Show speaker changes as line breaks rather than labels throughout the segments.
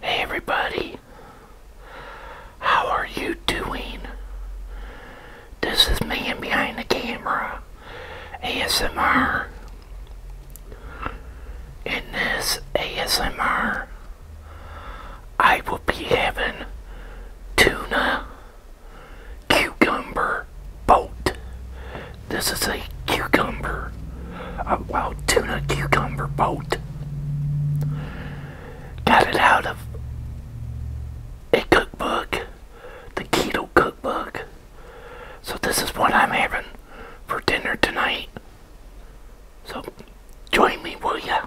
Hey everybody, how are you doing? This is Man Behind the Camera ASMR. In this ASMR, I will be having tuna cucumber boat. This is a cucumber, a well, tuna cucumber boat. Got it out of a cookbook, the keto cookbook. So this is what I'm having for dinner tonight. So join me, will ya?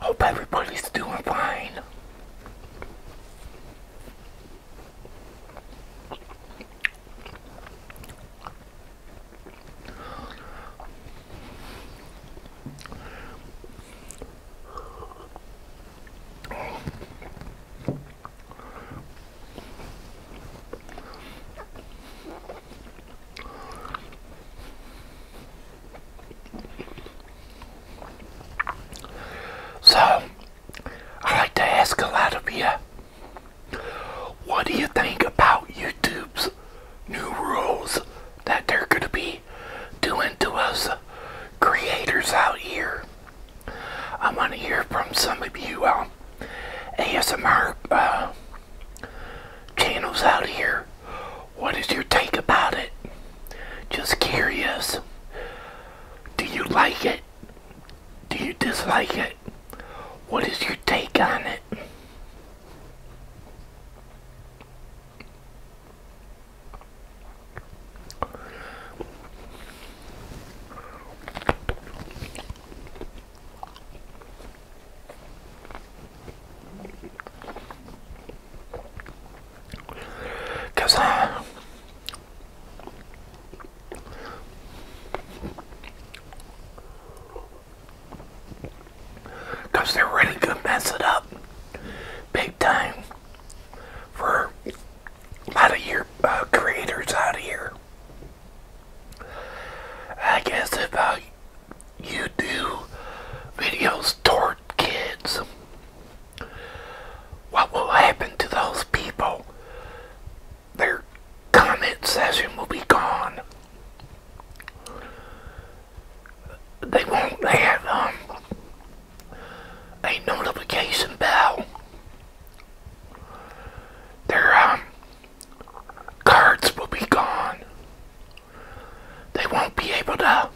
Hope everybody's doing fine. So, I like to ask a lot of you, what do you think about YouTube's new rules that they're going to be doing to us creators out here? I want to hear from some of you on um, ASMR uh, channels out here what is your take about it? Just curious. Do you like it? Do you dislike it? What is your take on it? Because Cause they're really gonna mess it up big time for a lot of your uh, creators out here. I guess if uh, you do videos toward kids, what will happen to those people? Their comment session will be gone. They won't have um, a notification bell. Their um, cards will be gone. They won't be able to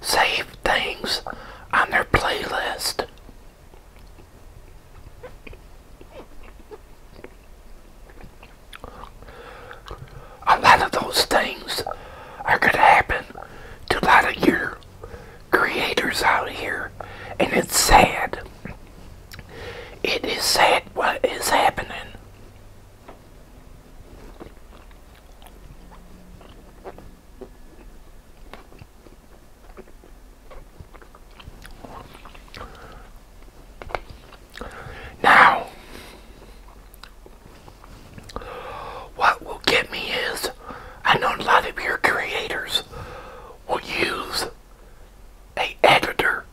save things on their playlist. A lot of those things are going to happen to a lot of your creators out here, and it's sad. It is sad what is happening. Now, what will get me is I know a lot of your creators will use a editor.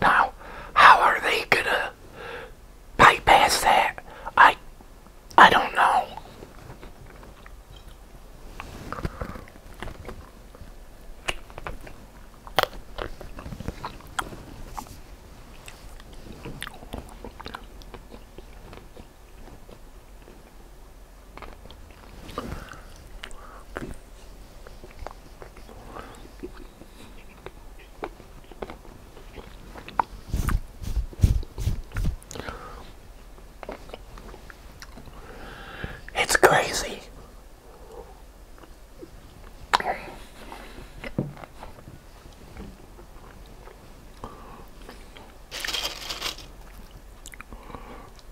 Now, how are they gonna bypass that? I, I don't know. It's crazy.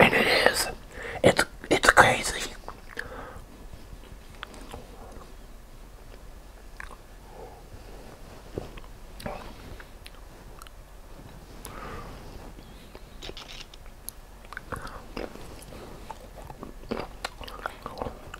And it is. It's it's crazy.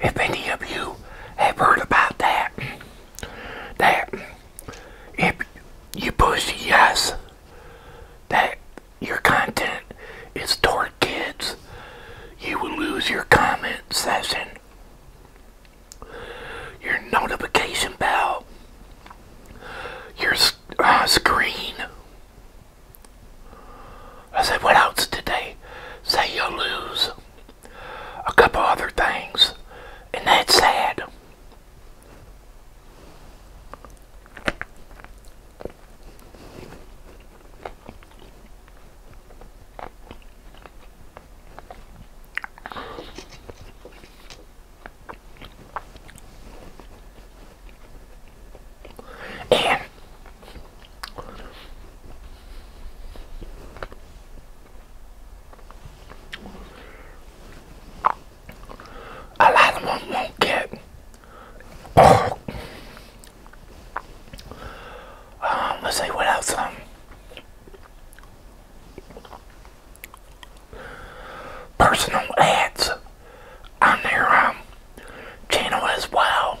If any of you have heard about that, that if you push yes, that your content is toward kids, you will lose your comment session, your notification bell, your uh, screen, I said, what else did say you'll lose? A couple other things. And that's sad. And a lot of them won't get oh, let's see what else um, personal ads on their um, channel as well.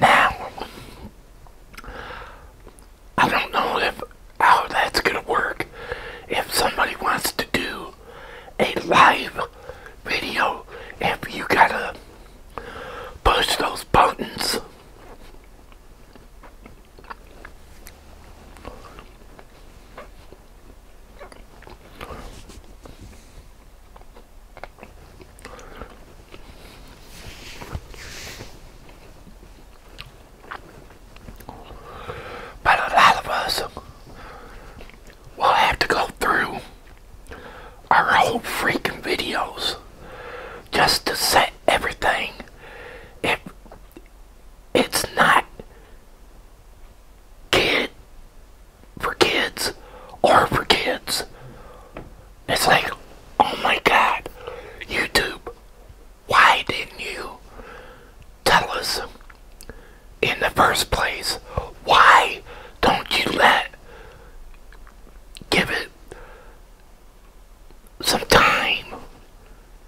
Now, I don't know if how that's going to work if somebody wants to do a live video if you gotta push those buttons. But a lot of us will have to go through our whole freaking videos just to set everything. If it's not kid for kids or for kids. It's like, oh my god, YouTube, why didn't you tell us in the first place? Why don't you let give it some time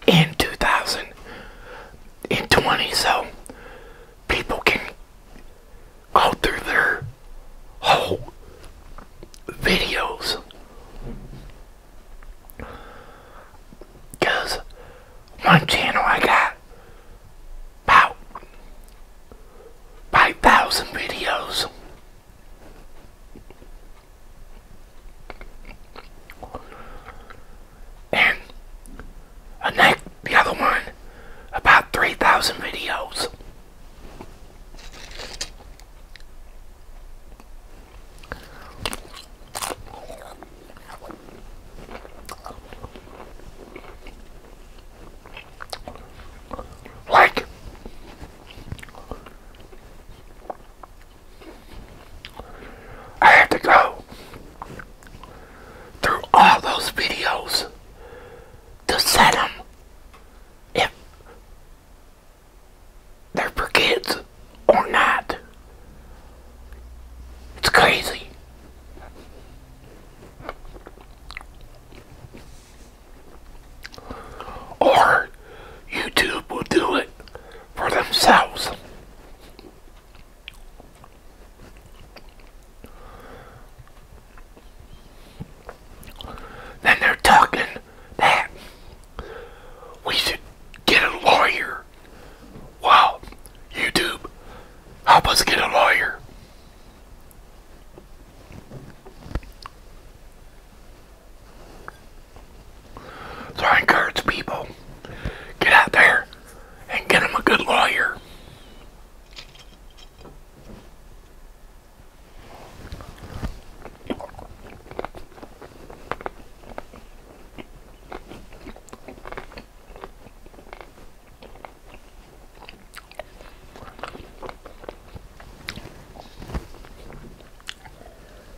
in 2020 so people can go through their whole videos because one channel I got about 5,000 videos and a neck, the other one, about 3,000 videos. Like, I have to go through all those videos to set them if they're for kids or not. It's crazy. Or YouTube will do it for themselves. Then they're talking we should get a lawyer. Wow, YouTube, help us get a lawyer. So I encourage people, get out there and get them a good lawyer.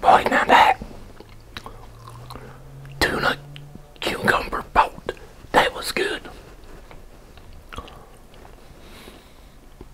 Boy, now that tuna cucumber boat, that was good.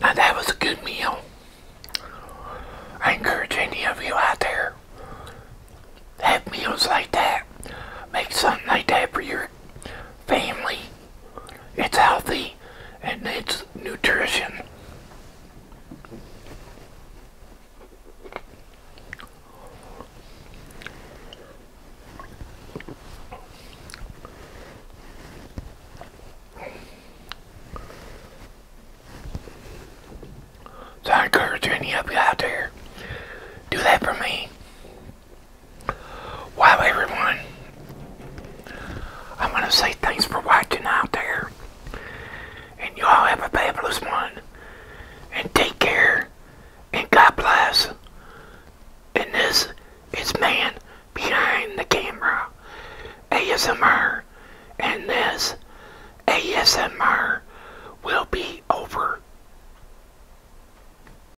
Now that was a good meal. I encourage any of you out there have meals like that. Make something like that for your family. It's healthy and it's nutrition. So encourage any of you out there, do that for me. Wow, everyone. I want to say thanks for watching out there. And y'all have a fabulous one. And take care. And God bless. And this is Man Behind the Camera. ASMR. And this ASMR will be over.